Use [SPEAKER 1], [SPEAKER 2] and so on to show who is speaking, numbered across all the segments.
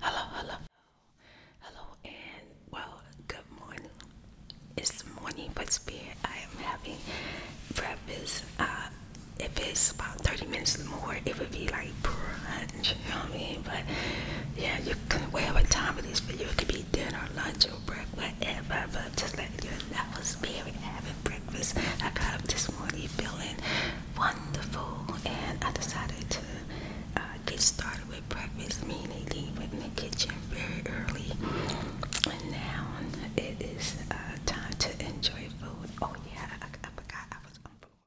[SPEAKER 1] Hello, hello, hello, and well, good morning. It's morning, but spirit. I am having breakfast. Uh, if it's about 30 minutes more, it would be like brunch, you know what I mean? But yeah, you can, whatever time it is this video, it could be dinner, lunch, or breakfast, whatever. But just let you know, spirit having breakfast. I got up this morning feeling wonderful, and I decided to uh, get started with breakfast. Me and Nadine went in the kitchen very early, and now it is uh, time to enjoy food. Oh yeah, I, forgot I was on board.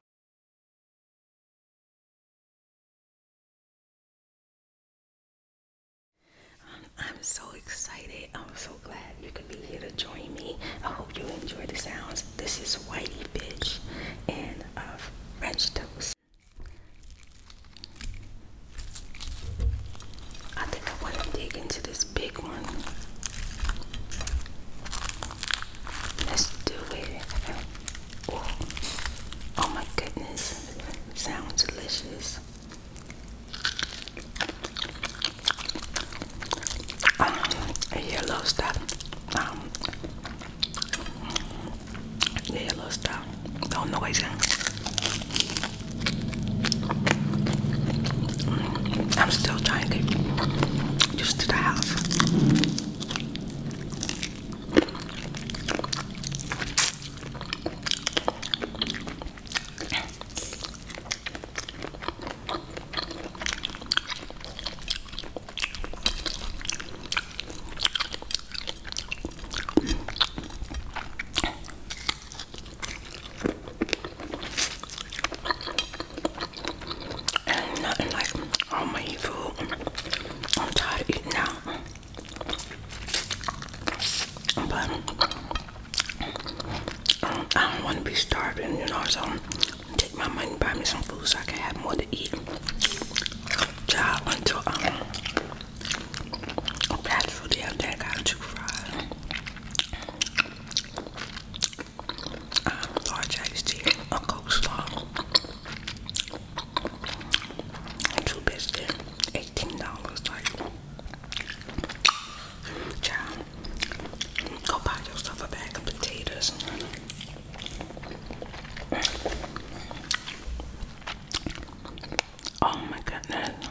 [SPEAKER 1] Um, I'm so excited. I'm so glad you could be here to join me. I hope you enjoy the sounds. This is Whitey Bitch and uh, French Toast. I think I want to dig into this big one. Let's do it. oh my goodness. Sounds delicious um, yellow stuff. Um, yellow stuff. No noise. I'm still trying to just to have. And nothing like homemade food. I'm tired of eating out. But um, I don't want to be starving, you know, so take my money, buy me some food so I can have more to eat. Job until um fast food day I got two fries. Um large iced tea, a coleslaw, two biscuits, $18 like child. Go buy yourself a bag of potatoes. Oh my goodness.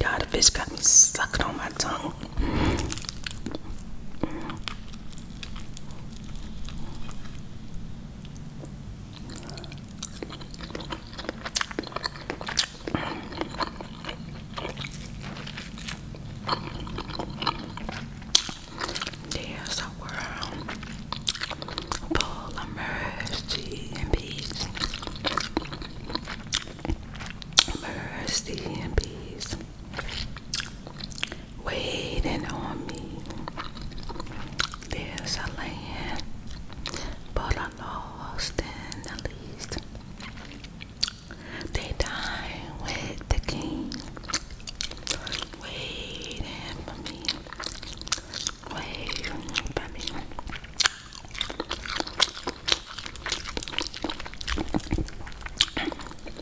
[SPEAKER 1] God, the fish got me sucking on my tongue. There's a world full of mercy and peace. Mercy and peace waiting on me. There's a land, but I lost in the least. They dine with the king, waiting for me, waiting for me.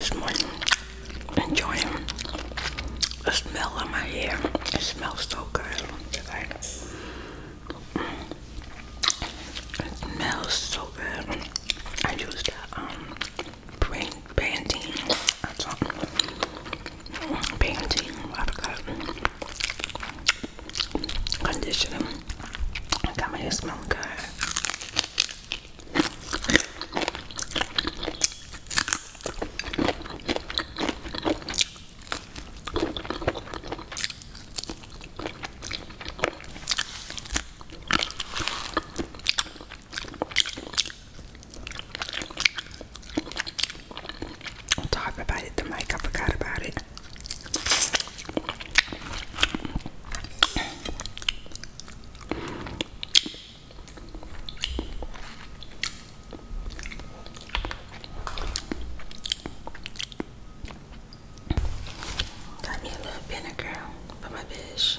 [SPEAKER 1] This morning, enjoying the smell of my hair. It smells so good. it smells so good. I use the um panty, panty, That's conditioner. I got my hair smelling good. On top about it, the mic, I forgot about it. Got me a little vinegar for my fish.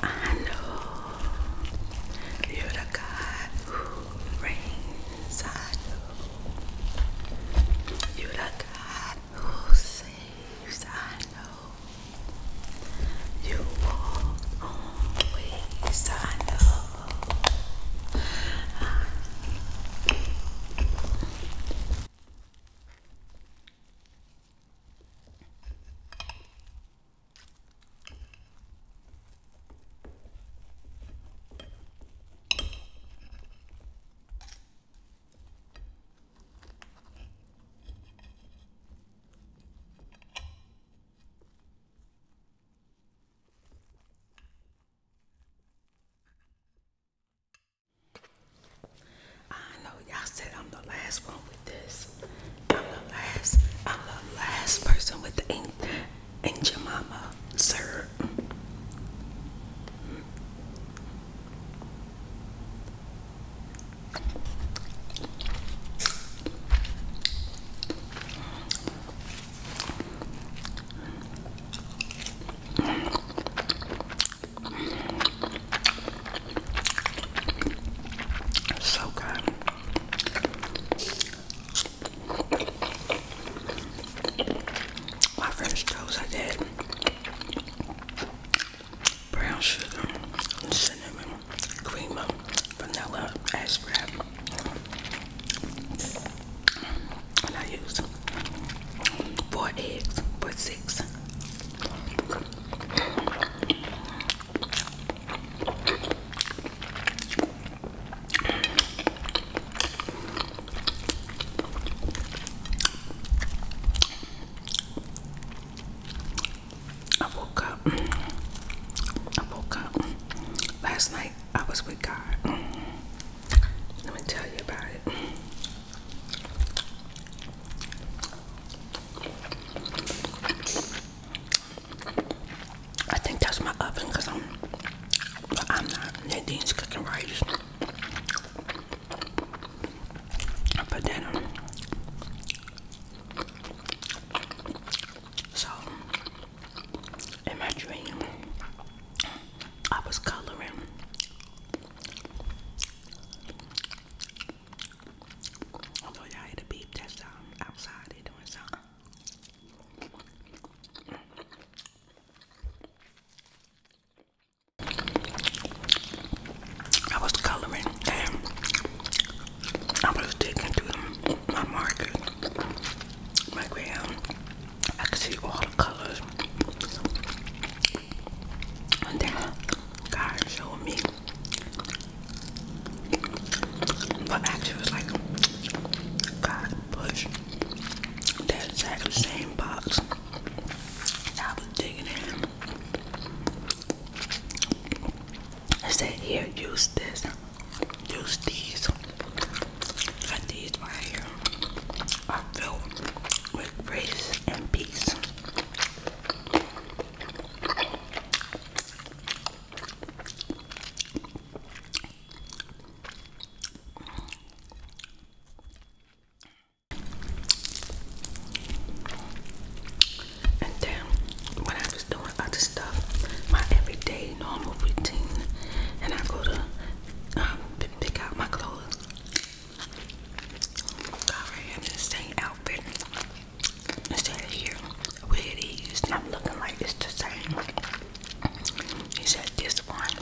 [SPEAKER 1] I know you're the God who reigns. I know you're the God who saves. I know you walk on know. I know y'all said I'm the last one with this. I'm the last. I'm the last person with the ink and Jemima sir. It's so good. My first toast I did brown sugar, cinnamon, creamer, vanilla, ice And I used four eggs, but six. I woke up. I woke up. Last night I was with God. Let me tell you about it. I think that's my oven because I'm but I'm not That thing's cooking right for dinner. Um, so, in I was coloring. Although y'all had to beep that sound outside, they doing something. I was coloring and I was digging through my marker, my ground. I all colors. And then God showed me. But actually, was like God push. That's exactly same box. I was digging it. I said, here, use this. Use these. Got these right here. I feel uh, with grace and peace. And then when I was doing other stuff, my everyday normal routine, and I go to um, pick out my clothes. Alright, I'm in the same outfit instead of here. Where these, and I'm looking like it's the same. He said this one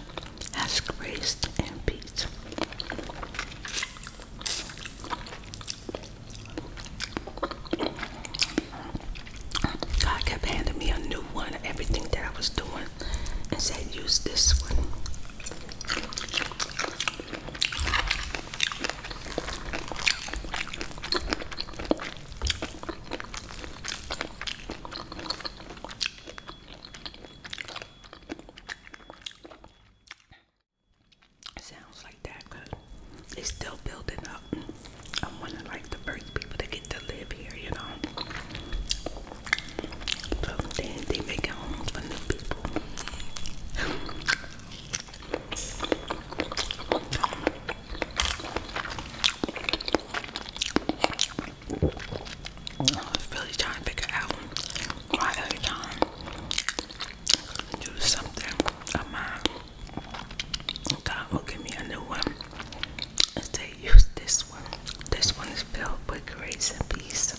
[SPEAKER 1] has grace and peace. God kept handing me a new one, everything that I was doing, and said, use this one. Sounds like that good. It's still building up. I'm one of like the first people to get to live here, you know. So they, they make homes for new people. really trying to figure out why every time I do something of mine, uh, God will give me a new one and use this one. This one is filled with grace and peace.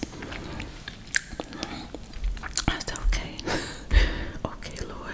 [SPEAKER 1] That's okay. okay, Lord.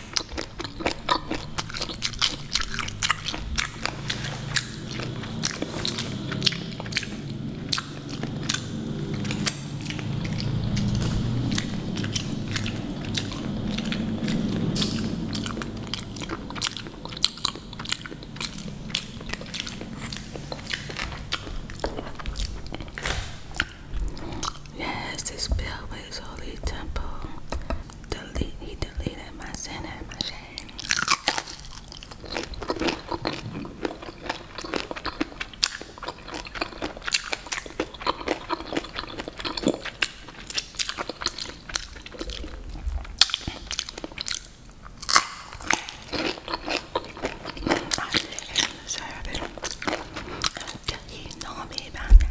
[SPEAKER 1] Yes, this building is holy temple delete he deleted my sin and my shame. You know me about that.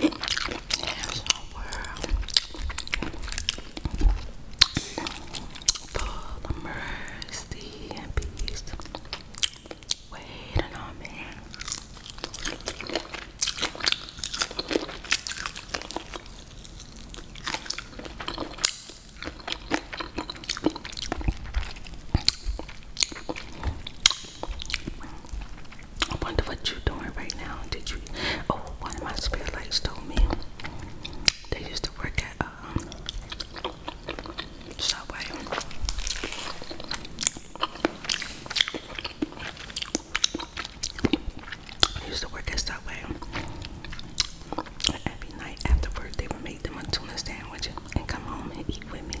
[SPEAKER 1] There's world full of mercy and peace waiting on me. I wonder what you're doing right now. Did you? Oh, one of my spare lights told me they used to work at um, Subway. used to work at Subway. Every night after work, they would make them a tuna sandwich and come home and eat with me.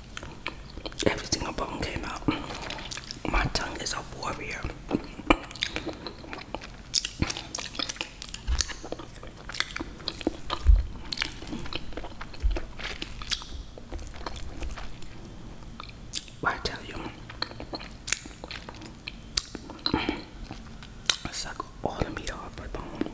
[SPEAKER 1] Every single bone came out. My tongue is a warrior. I tell you, suck all the meat off my bone.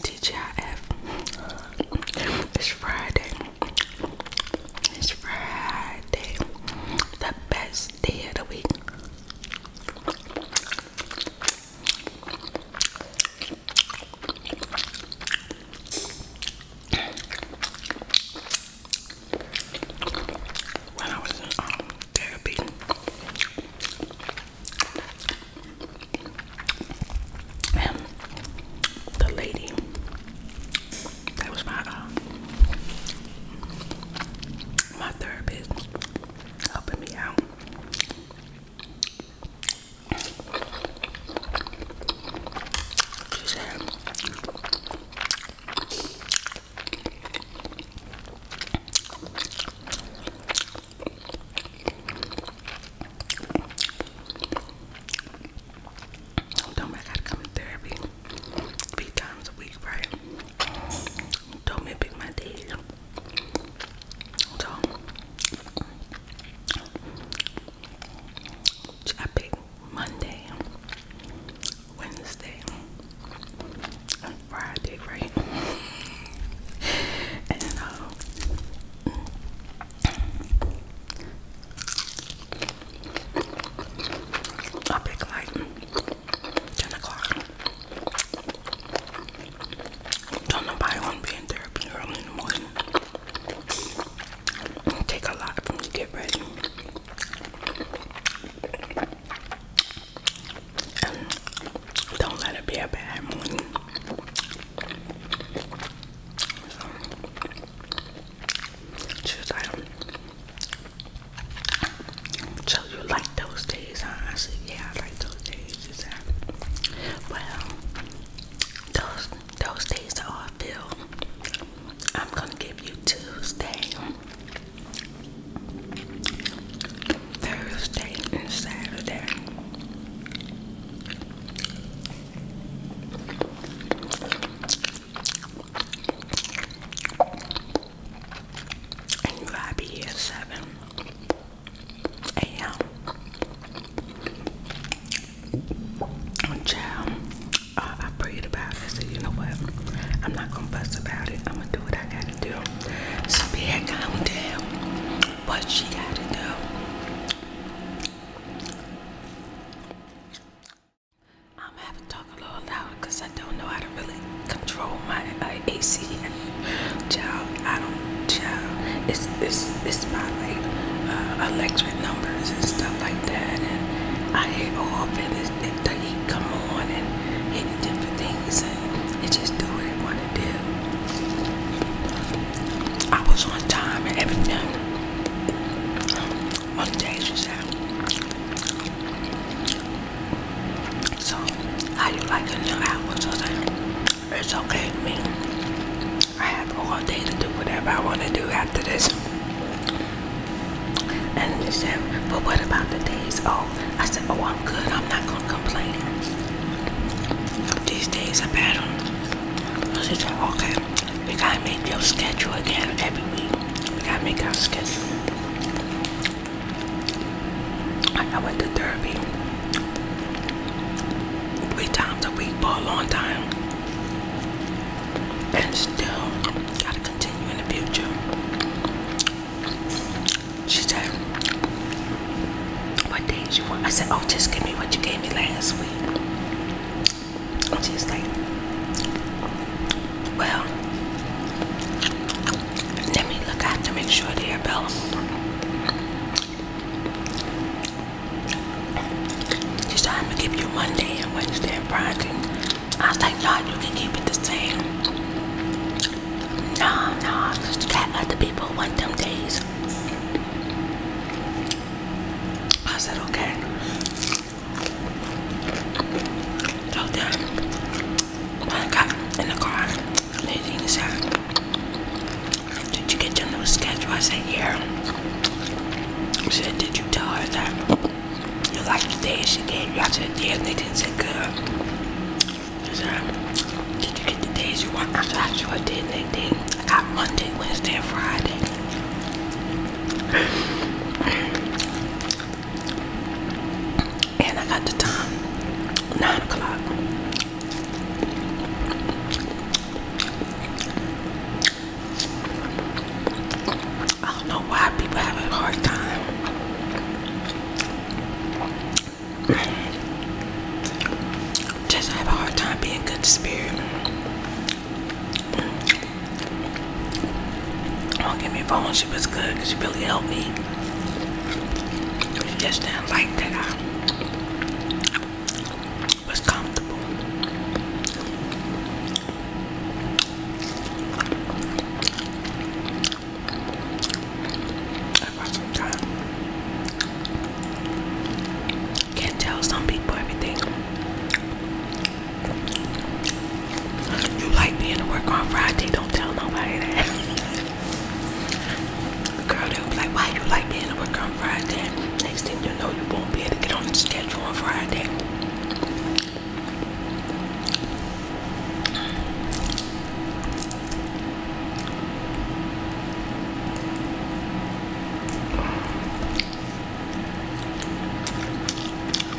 [SPEAKER 1] TGIF. It's Friday. It's Friday. The best day of the week. When I was in um, therapy, and the lady that was my um, my therapist helping me out. Don't I gotta come to therapy three times a week, right? told me pick my teeth. So I picked Monday, Wednesday, Friday, right? and uh, I pick like 10 o'clock. Don't nobody want to be in therapy early in the morning. take a lot to get ready. don't let it be a bad morning. So, just um, so you like those days, huh? I said, yeah, I like those days. well, those, those days are filled. I'm going to give you Tuesday, Thursday, and Saturday and you gotta be here 7 a.m. Child, uh, I prayed about it. said, you know what? I'm not gonna fuss about it. I'm gonna do what I gotta do. So be had calm down. What she gotta do. I'm having to talk a little loud because I don't know how to really control my uh, AC. Child, I don't, child. It's, it's, it's my like uh, electric numbers and stuff like that. And I hit off and it, it, the heat come on and hit different things and it just do what it want to do. I was on time and everything. One day she said, so, how do you like the new album, Jose? It's okay to me. I have all day to do whatever I want to do after this. And he said, but what about the days off? I said, oh, I'm good. I'm not going to complain. These days are better. She said, okay, we got to make your schedule again every week. We got to make our schedule. I went to therapy three times a week for a long time and still gotta continue in the future. She said, What days you want? I said, Oh, just give me what you gave me last week. And she's like, well, let me look. I have to make sure the bell. It's time to give you Monday and Wednesday and Friday. I was like, no, you can keep it the same. No, no, because got other people want them days. I said, okay. So I got in the car, Did you get your new schedule? I said, Yeah. She said, Did you tell her that you like the day she gave you? I said, Yeah, they didn't say good. She said, Did you get the days you want? I said, I sure did, Nadine. I got Monday, Wednesday, and Friday. And I got the time, 9 o'clock. I don't know why people have a hard time. Just have a hard time being good spirit. Don't give me a fellowship is good because you really helped me. It's just didn't like that I was comfortable. Can't tell some people everything. You like being to work on Friday, don't tell nobody that. Girl, they'll be like, why you like being to work on Friday? Next thing you know, you won't be able to get on the schedule on Friday.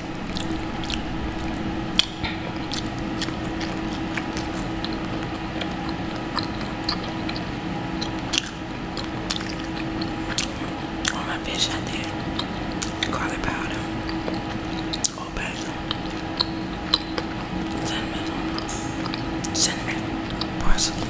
[SPEAKER 1] All my fish I did garlic powder, old basil, cinnamon, cinnamon, parsley.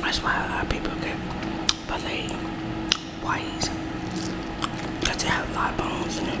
[SPEAKER 1] That's why a lot of people get bullied white. Cause it has a lot of bones in it.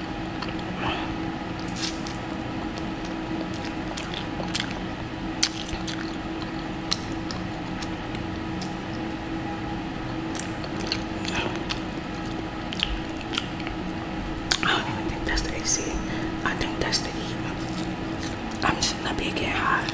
[SPEAKER 1] I don't even think that's the AC. I think that's the heat. I'm just not be getting hot.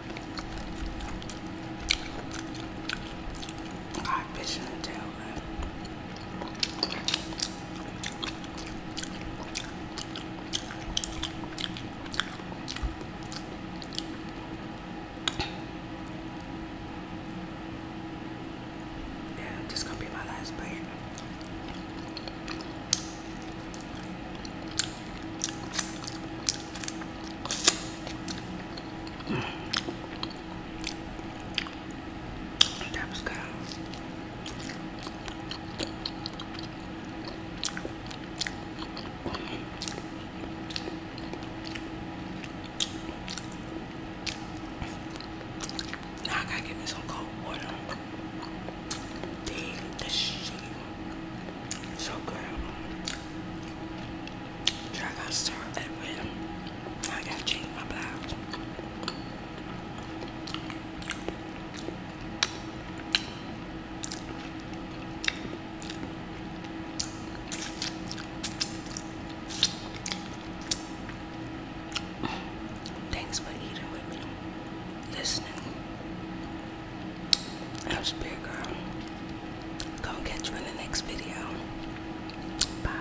[SPEAKER 1] I'm in the tailbone. Yeah, this gonna be my last bite. That good. I gotta get me some cold water. Dang, this shit so good. I to start that with. I gotta change my blouse. Thanks for eating with me, listening, I'm Spirit Girl. Gonna catch you in the next video. Bye.